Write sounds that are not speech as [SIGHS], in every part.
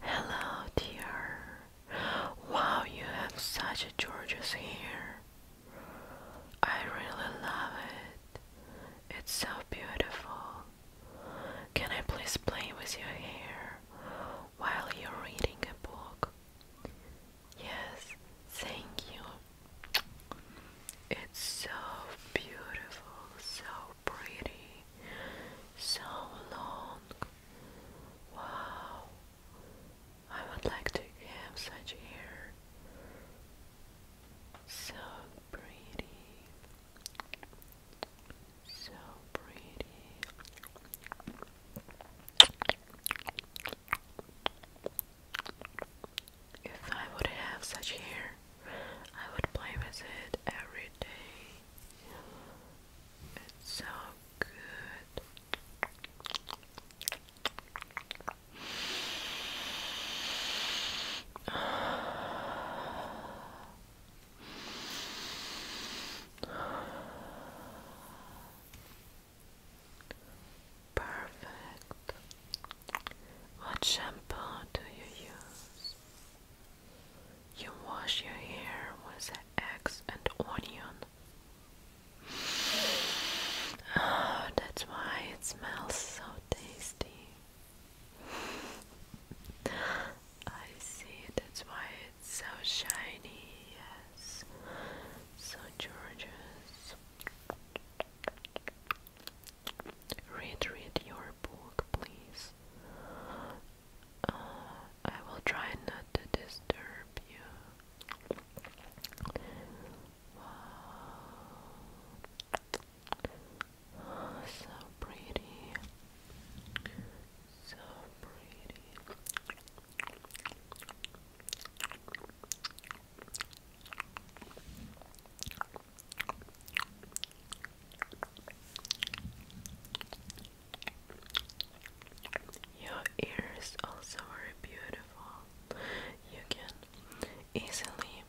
Hello, dear. Wow, you have such a gorgeous hair. I really love it. It's so beautiful. Can I please play with your hair while you're reading a book? Yes, thank you. It's so beautiful, so pretty so long. Wow, I would like to have such hair. So pretty, so pretty. If I would have such hair, I would play with it every day. It's so good. [SIGHS] Perfect. What shampoo do you use? You wash your hair with eggs and onion. Oh, that's why it smells so tasty. I see, that's why it's so shiny, yes, so gorgeous. Read, read your book, please. Uh, I will try not to disturb you. so pretty. So pretty. Your ears also are beautiful. You can easily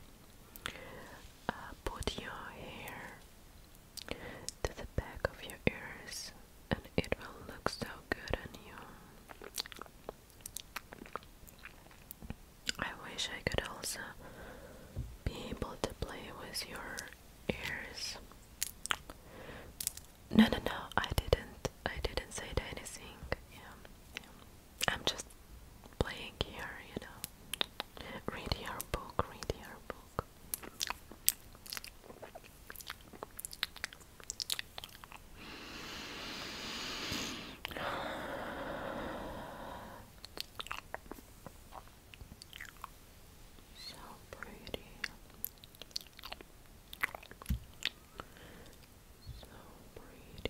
uh, put your hair to the back of your ears, and it will look so good on you. I wish I could also be able to play with your ears. No, no, no, I didn't. I didn't say anything. Yeah, yeah. I'm just playing here, you know. Read your book, read your book. So pretty. So pretty.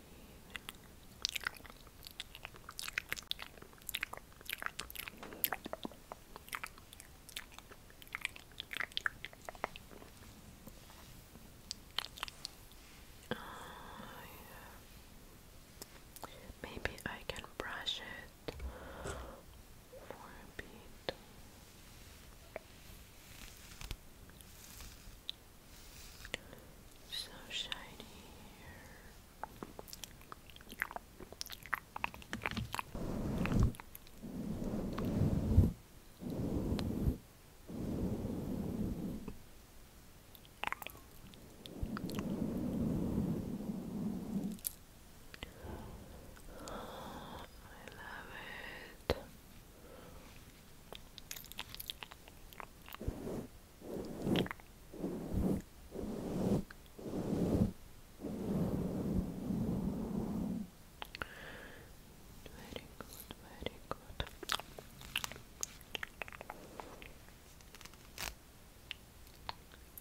Oh, yeah. Maybe I can brush it for a bit. So shiny it. Very good, very good.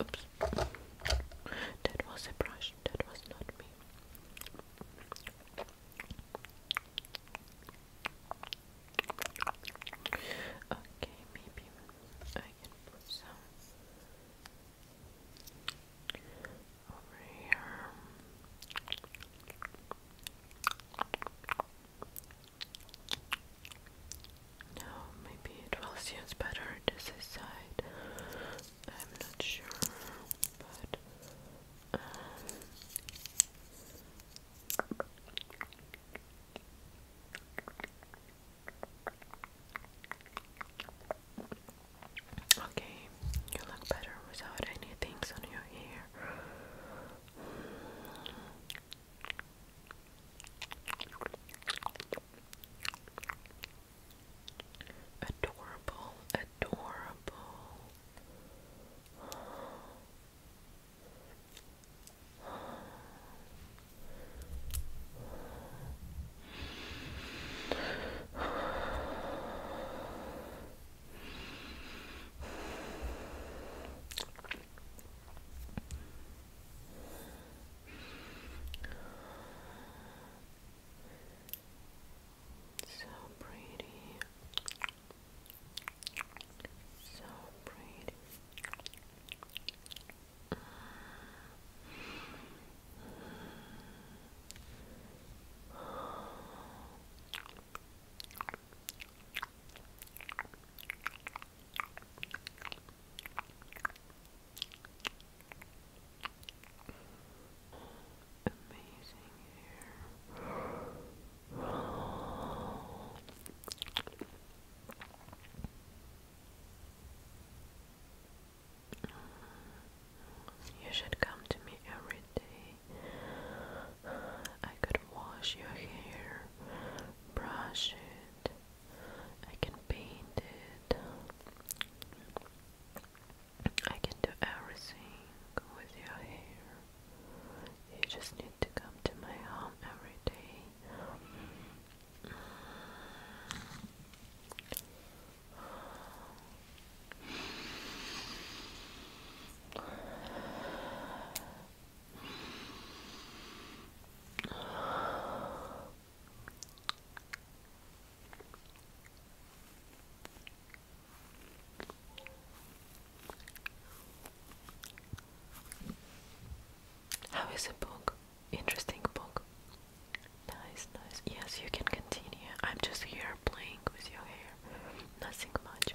Oops. That was a brush, that was not me. Okay, maybe I can put some over here. No, maybe it will suit better this side. I'm not sure, but um, Okay, you look better without any things on your hair. Adorable, adorable. So pretty, so pretty. Amazing hair. You should come to me every day. I could wash your hair, brush it, I can paint it, I can do everything with your hair. You just need to come to my home every day. How is a book? Interesting book. Nice, nice. Yes, you can continue. I'm just here playing with your hair. Nothing much.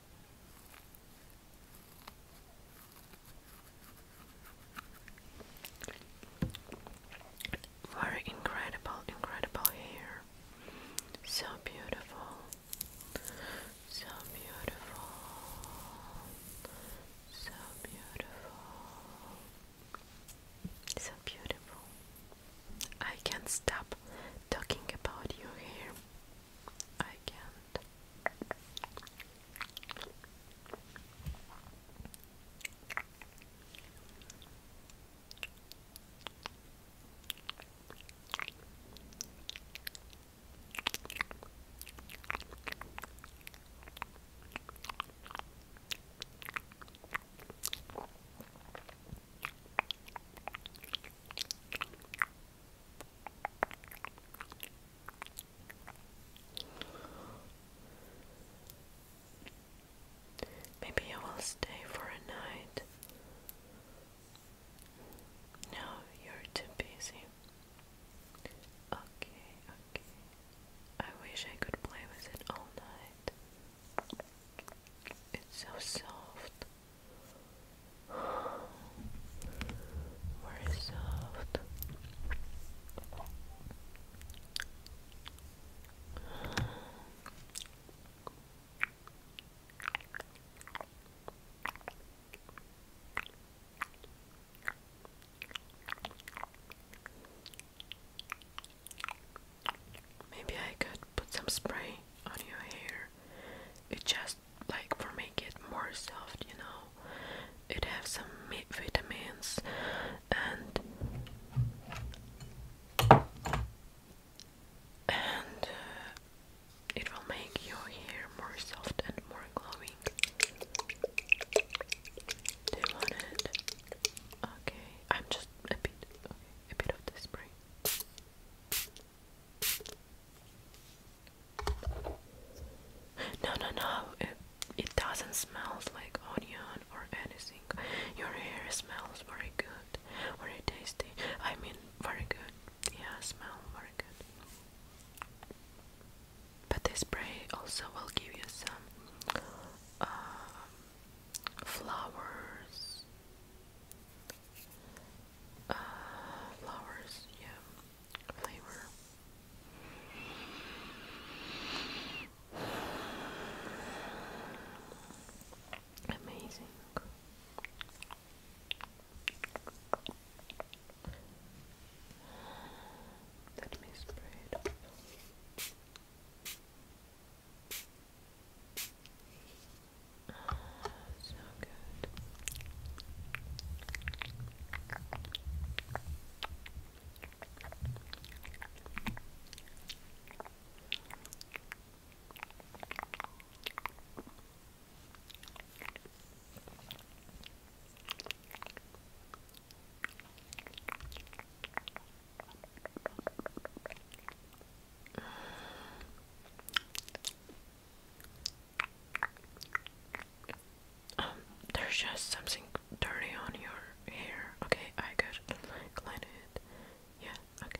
Very incredible, incredible hair. So beautiful. So beautiful. So beautiful. So beautiful. I can't stop talking about your hair. I can't. Maybe you will stay for a night. No, you're too busy. Okay, okay. I wish I could play with it all night. It's so soft. More soft. Maybe I could put some spray on your hair. It just like for make it more soft you know it has some vitamins and and uh, it will make your hair more soft and more glowing do you want it? okay I'm just a bit a bit of the spray no, no, no, it, it doesn't smell like onion or anything. Your hair smells very good, very tasty. I mean, very good. Yeah, smell very good. But this spray also will give you some um, flowers uh, flowers, yeah, flavor. Amazing. Let me spray it up. Oh, so good there's just something dirty on your hair. Okay, I could clean it. Yeah, okay.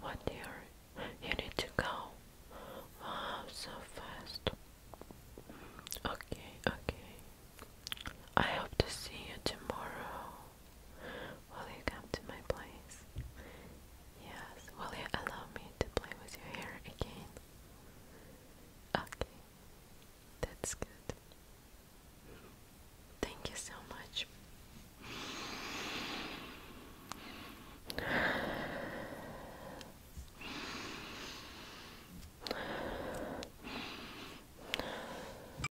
What dear? You need to go. Wow, so fast. Okay, okay. I hope to see you tomorrow. Will you come to my place? Yes. Will you allow me to play with your hair again? Okay. That's good. Thank you so much.